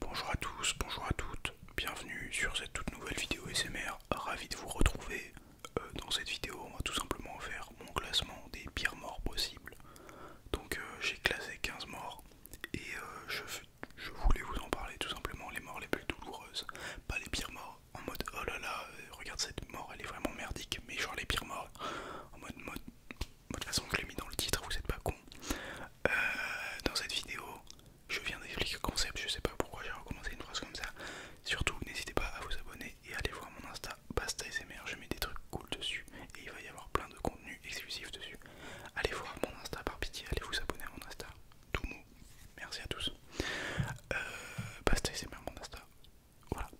Bonjour à tous, bonjour à toutes, bienvenue sur cette toute nouvelle vidéo SMR, ravi de vous retrouver. Euh, dans cette vidéo on va tout simplement faire mon classement des pires morts possibles. Donc euh, j'ai classé 15 morts et euh, je, voulais vous en parler tout simplement, les morts les plus douloureuses, pas les pires morts en mode oh là là, regarde cette mort elle est vraiment merdique, mais genre les pires morts en mode mode, toute façon je l'ai mis dans le titre, vous êtes pas con. Euh, dans cette vidéo, je viens d'expliquer le concept, je sais pas pourquoi j'ai recommencé une phrase comme ça. Surtout, n'hésitez pas à vous abonner et allez voir mon Insta, Basta je mets des trucs cool dessus et il va y avoir plein de contenu exclusif dessus. Allez voir mon Insta par pitié, allez vous abonner à mon Insta, tout mou, Merci à tous. Euh, Basta mon Insta. Voilà.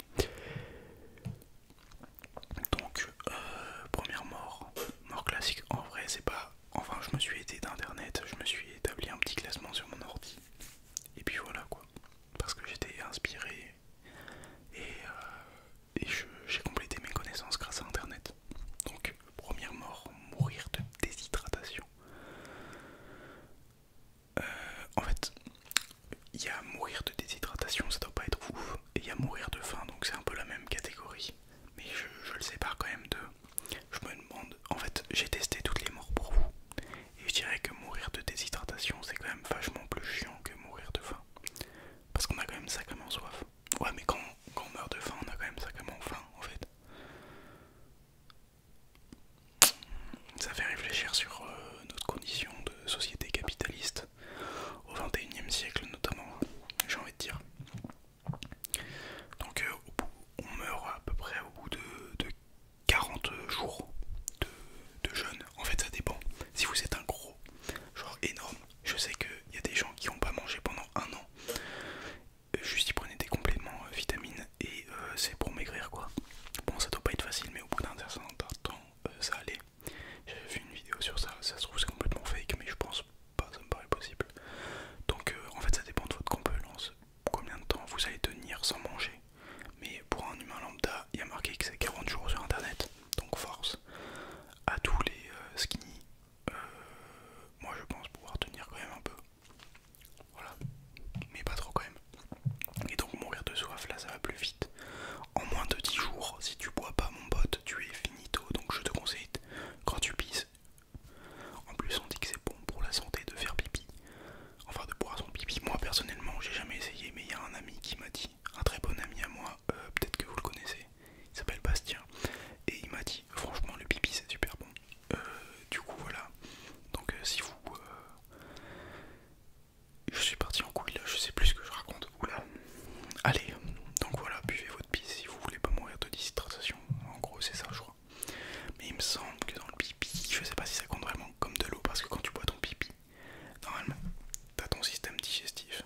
Donc euh, première mort, mort classique en vrai c'est pas, enfin je me suis aidé d'internet, je me suis établi un petit classement sur mon ordi et puis voilà quoi, parce que j'étais inspiré et, euh, j'ai complété mes connaissances grâce à internet. Donc première mort, mourir de déshydratation. Euh, en fait, il y a mourir de déshydratation, ça doit pas être ouf, et il y a mourir de faim, donc c'est un peu la même catégorie mais je, le sépare quand même de. Je me demande, en fait, j'ai testé toutes les morts pour vous, et je dirais que mourir de déshydratation c'est quand même vachement plus chiant que mourir de faim, parce qu'on a quand même sacrément soif. Ouais, mais quand, on meurt de faim, on a quand même sacrément faim en fait. Ça fait réfléchir sur euh, notre condition de société capitaliste au 21e siècle notamment, j'ai envie de dire. Donc euh, on meurt à peu près au bout de, 40 jours de, jeûne. En fait ça dépend. Si vous êtes un gros, genre énorme, je sais qu'il y a des gens qui n'ont pas mangé pendant un an. Euh, juste ils prenaient des compléments euh, vitamines et c'est pour maigrir quoi. Bon ça doit pas être facile mais au bout d'un certain temps ça allait. J'avais fait une vidéo sur ça, ça se trouve c'est complètement fake mais je pense pas, ça me paraît possible. Donc euh, en fait ça dépend de votre compétence, combien de temps vous allez tenir sans manger. Mais pour un humain lambda, il y a marqué que c'est 40 jours sur internet. Donc force à tous les euh, skinny. Euh, moi je pense pouvoir tenir quand même un peu. Voilà. Mais pas trop quand même. Et donc mourir de soif là ça va plus vite. En moins de 10 jours, si tu bois pas mon pote, tu es finito. Donc je te conseille quand tu pisses. En plus, on dit que c'est bon pour la santé de faire pipi, enfin de boire son pipi. Moi personnellement, j'ai jamais essayé, mais il y a un ami qui m'a dit, un très bon ami à moi, euh, peut-être que vous le connaissez, il s'appelle Bastien, et il m'a dit, franchement, le pipi c'est super bon. Euh, du coup, voilà. Donc, euh, si vous. Je suis parti en couille là, je sais plus ce que je raconte. là. Allez, donc voilà, buvez si vous voulez pas mourir de déshydratation. En gros, c'est ça, je crois. Mais il me semble que dans le pipi, je sais pas si ça compte vraiment comme de l'eau parce que quand tu bois ton pipi, normalement, t'as ton système digestif,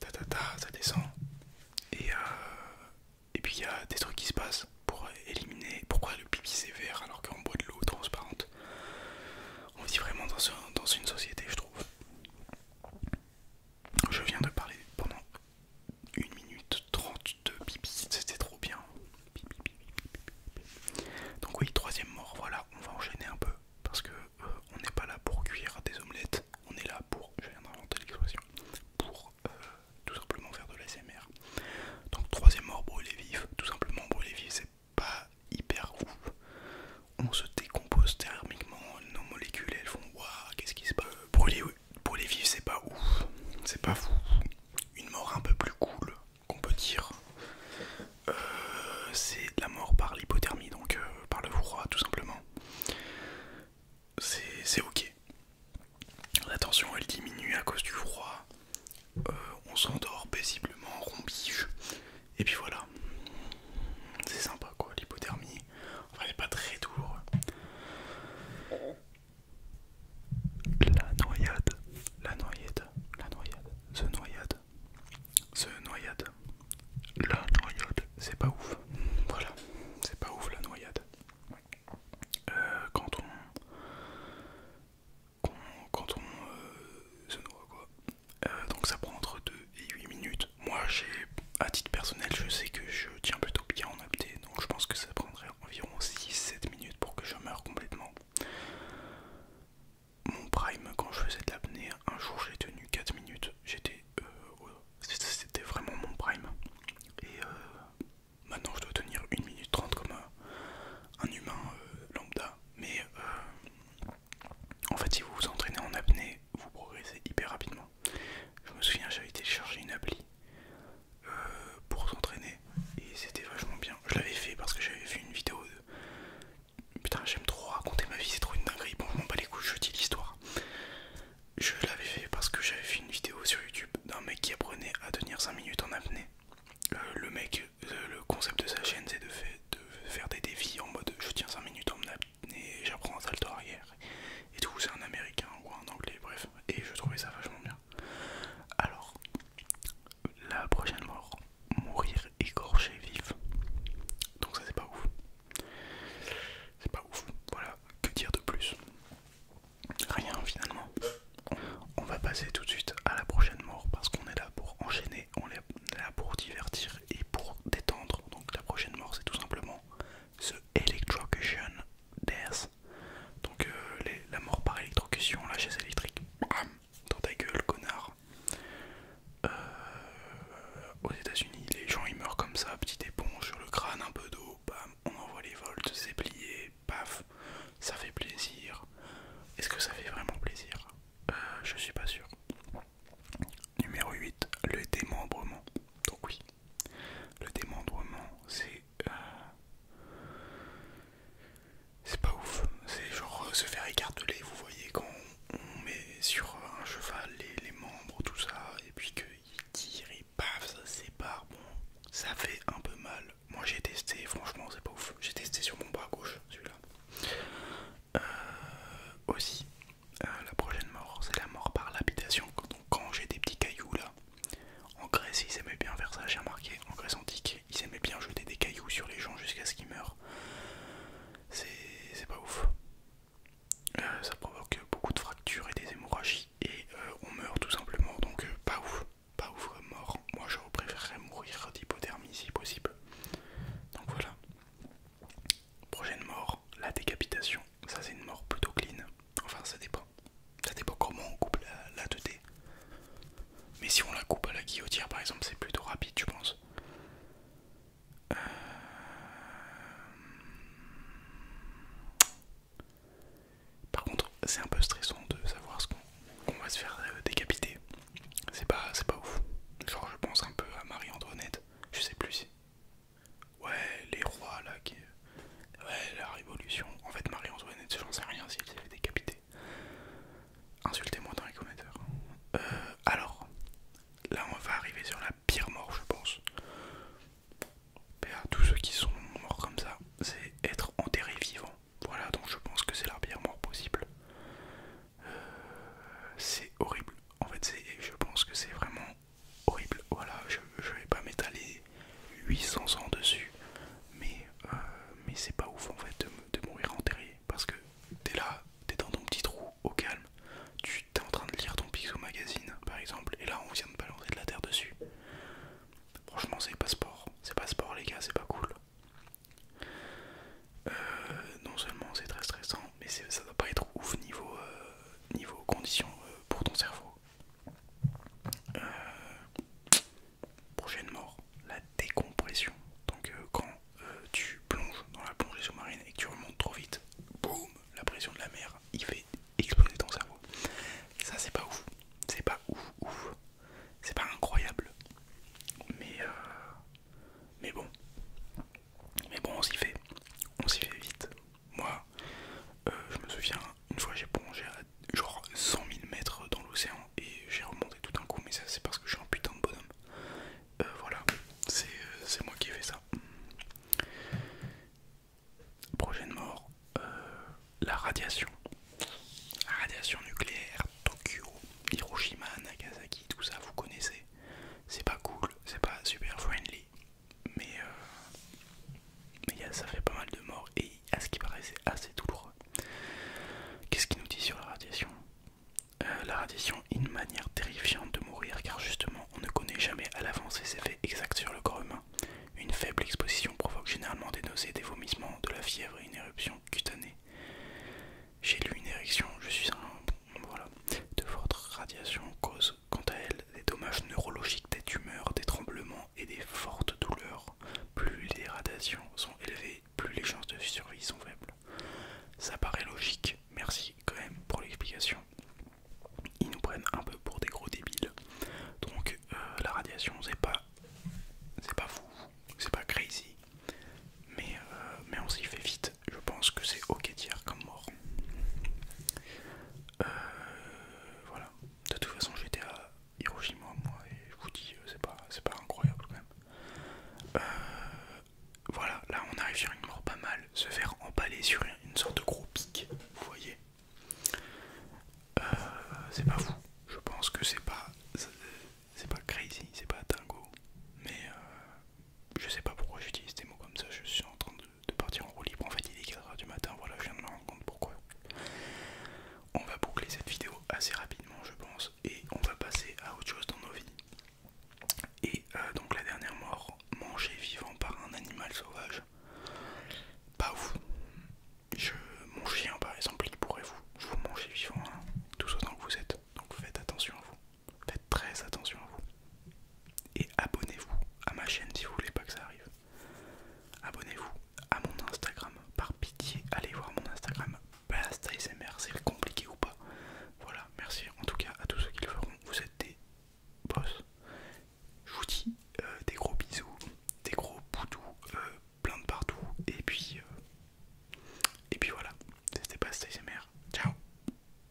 ta ta ta, ça descend, et, euh, et puis il y a des trucs qui se passent pour éliminer. Pourquoi le pipi c'est vert alors qu'on boit de l'eau transparente On vit vraiment dans une société, je trouve. Je viens de parler pendant une minute 32 de c'était trop bien. Donc oui, troisième mort, voilà, on va enchaîner un peu, parce que euh, on n'est pas là pour cuire des omelettes, on est là pour, je viens d'inventer l'expression, pour euh, tout simplement faire de l'ASMR. Donc troisième mort, brûler vif, tout simplement brûler vif, c'est pas hyper ouf on se décompose thermiquement, nos molécules elles font waouh, qu'est-ce qui se passe Pour les vifs, c'est pas ouf, c'est pas fou. Une mort un peu plus cool, qu'on peut dire, euh, C'est de la mort par l'hypothermie, donc euh, par le froid tout simplement. C'est ok. La tension elle diminue à cause du froid, euh, on s'endort paisiblement, rompige, et puis voilà, c'est sympa l'hypothermie. Enfin, elle est pas très douloureuse. La noyade, la noyade, la noyade, ce noyade, ce noyade, la noyade, c'est pas ouf. Voilà, c'est pas ouf la noyade. Euh, quand on, quand on euh, se noie quoi. Euh, donc ça prend entre 2 et 8 minutes. Moi, j'ai, à titre personnel, je sais que je tiens plutôt bien en apnée, donc je pense que ça prendrait environ 6-7 minutes pour que je meure complètement. Mon prime, quand je faisais de l'apnée, un jour j'ai tenu 4 minutes, j'étais. Euh, c'était vraiment mon prime. Et euh, maintenant, je dois tenir 1 minute 30 comme un, humain euh, lambda. Mais en fait, si vous vous entraînez en apnée, vous progressez hyper rapidement. Je me souviens, j'avais téléchargé une appli euh, pour s'entraîner et c'était vachement bien. Je l'avais fait parce que j'avais vu une vidéo de. Putain, j'aime trop raconter ma vie, c'est trop une dinguerie. Bon, je m'en bats les couilles, je dis l'histoire. Je l'avais fait parce que j'avais vu une vidéo sur YouTube d'un mec qui apprenait à tenir 5 minutes en apnée. Euh, le mec, euh, le concept de sa chaîne, c'est de, de faire des défis en mode je tiens 5 minutes en apnée et j'apprends un salto arrière et tout. C'est un américain ou un anglais, bref. Et je trouvais ça vachement bien. Alors, la prochaine mort mourir écorché vif. Donc, ça, c'est pas ouf. C'est pas ouf. Voilà, que dire de plus Rien finalement. On va passer tout de suite à la prochaine mort parce qu'on est là pour enchaîner, on est là pour divertir et pour détendre. Donc la prochaine mort c'est tout simplement ce électrocution, Electrocution Death. Donc euh, la mort par électrocution, la chaise électrique, dans ta gueule, connard. Euh, aux États-Unis, les gens ils meurent comme ça, petit éponge sur le crâne, un peu d'eau, bam, on envoie les volts, c'est plié, paf, ça fait plaisir. Est-ce que ça fait vraiment plaisir euh, Je suis pas sûr. Numéro 8, le démembrement. Donc oui, le démembrement, c'est... Euh, c'est pas ouf, c'est genre euh, se faire écarteler, vous voyez, quand on, met sur un cheval les, membres, tout ça, et puis qu'il tire, et paf, ça sépare, bon, ça fait un peu mal. Moi j'ai testé, franchement c'est pas ouf, j'ai testé sur mon bras gauche, celui-là. Euh, aussi, euh, la prochaine mort, c'est la mort par l'habitation. Donc, quand j'ai des petits cailloux là, en Grèce, ils aimaient bien faire ça, j'ai remarqué. En Grèce antique, ils aimaient bien jeter des cailloux sur les gens jusqu'à ce qu'ils meurent. C'est pas ouf. Euh, ça provoque beaucoup de fractures et des hémorragies, et on meurt tout simplement. Donc, pas ouf, pas ouf mort. Moi, je préférerais mourir d'hypothermie si possible. Donc voilà. Prochaine mort, la décapitation. Ça, c'est une mort plutôt clean. Enfin, ça dépend. Ça dépend comment on coupe la, 2D. Mais si on la coupe à la guillotière, par exemple, c'est plutôt rapide, je pense. Euh, par contre, c'est un peu stressant de savoir ce qu'on va se faire euh, décapiter. C'est pas, pas ouf. Genre, je pense un peu à Marie-Antoinette. Je sais plus si. Ouais, les rois là qui. Ouais, la révolution. En fait, Marie-Antoinette, j'en sais rien si elle s'est décapité. Insultez-moi dans les commentaires. Euh, alors, là on va arriver sur la pire mort, je pense. Bah, tous ceux qui sont morts comme ça, c'est être enterré vivant. Voilà, donc je pense que c'est la pire mort possible. Euh, c'est horrible. En fait, c'est je pense que c'est vraiment horrible. Voilà, je, vais pas m'étaler 800 ans dessus, mais, euh, mais c'est pas ouf en fait de, de mourir enterré parce que t'es là, t'es dans ton petit trou au calme, tu t'es en train de lire ton au Magazine par exemple, et là on vient de balancer de la terre dessus. Franchement, c'est pas sport, c'est pas sport, les gars, c'est pas cool. Euh, non seulement c'est très stressant, mais ça doit pas être ouf niveau euh, euh, niveau conditions euh, pour ton cerveau. Euh, prochaine mort, la décompression. Donc quand tu plonges dans la plongée sous-marine et que tu remontes trop vite, boum, la pression de la mer, il fait exploser ton cerveau. Ça c'est pas ouf, c'est pas ouf ouf, c'est pas incroyable, mais mais bon, mais bon, on s'y fait, on s'y fait vite. Moi, euh, je me souviens, une fois j'ai plongé à genre 100 000 mètres dans l'océan et j'ai remonté tout un coup, mais ça c'est parce que je suis un putain de bonhomme. Euh, voilà, euh, c'est moi qui ai fait ça. Prochaine mort, la radiation. radiation nucléaire, Tokyo, Hiroshima, Nagasaki, tout ça, vous connaissez. C'est pas cool, c'est pas super friendly mais euh, ça fait pas mal de morts et à ce qui paraissait assez douloureux. Qu'est-ce qui nous dit sur la radiation euh, La radiation est une manière terrifiante de mourir car justement on ne connaît jamais à l'avance ses effets exacts sur le corps humain. Une faible exposition provoque généralement des nausées, des vomissements, de la fièvre et une éruption cutanée. J'ai lu une érection, je suis un... Voilà. De votre radiation cause quant à elle, des dommages neurologiques, des tumeurs, des tremblements et des fortes douleurs. Plus les radiations sont élevées, plus les chances de survie sont faibles. Ça paraît logique, merci quand même pour l'explication. Ils nous prennent un peu pour des gros débiles. Donc euh, la radiation, c'est pas, c'est pas fou, c'est pas crazy, mais, euh, mais on s'y fait vite je pense que c'est ok dire comme mort. Euh, voilà. De toute façon, j'étais à Hiroshima, moi, et je vous dis, euh, c'est pas, pas incroyable quand même. Euh, voilà, là on arrive sur une mort pas mal, se faire emballer sur une sorte de gros pic, vous voyez. c'est pas fou, je pense que c'est pas c'est pas crazy, c'est pas dingo, mais je sais pas pourquoi j'utilise des mots comme ça, je suis en train de de, partir en roue libre. En fait, il est 4h du matin, voilà, je viens de me rendre compte pourquoi. On va boucler cette vidéo assez rapidement, je pense, et on va passer à autre chose dans nos vies. Et euh, donc, la dernière mort, mangée vivant par un animal sauvage. Pas vous. Je, mon chien, par exemple, il pourrait vous, manger vivant, tout hein, tout autant que vous êtes. Donc, faites attention à vous. Faites très attention à vous. Et abonnez-vous à ma chaîne si vous voulez pas que ça arrive. Abonnez-vous à mon Instagram. Par pitié, allez voir mon Instagram. Basta c'est compliqué ou pas. Voilà, merci en tout cas à tous ceux qui le feront. Vous êtes des boss. Je vous dis euh, des gros bisous, des gros boudous, euh, plein de partout. Et puis, euh, et puis voilà, c'était Basta Ciao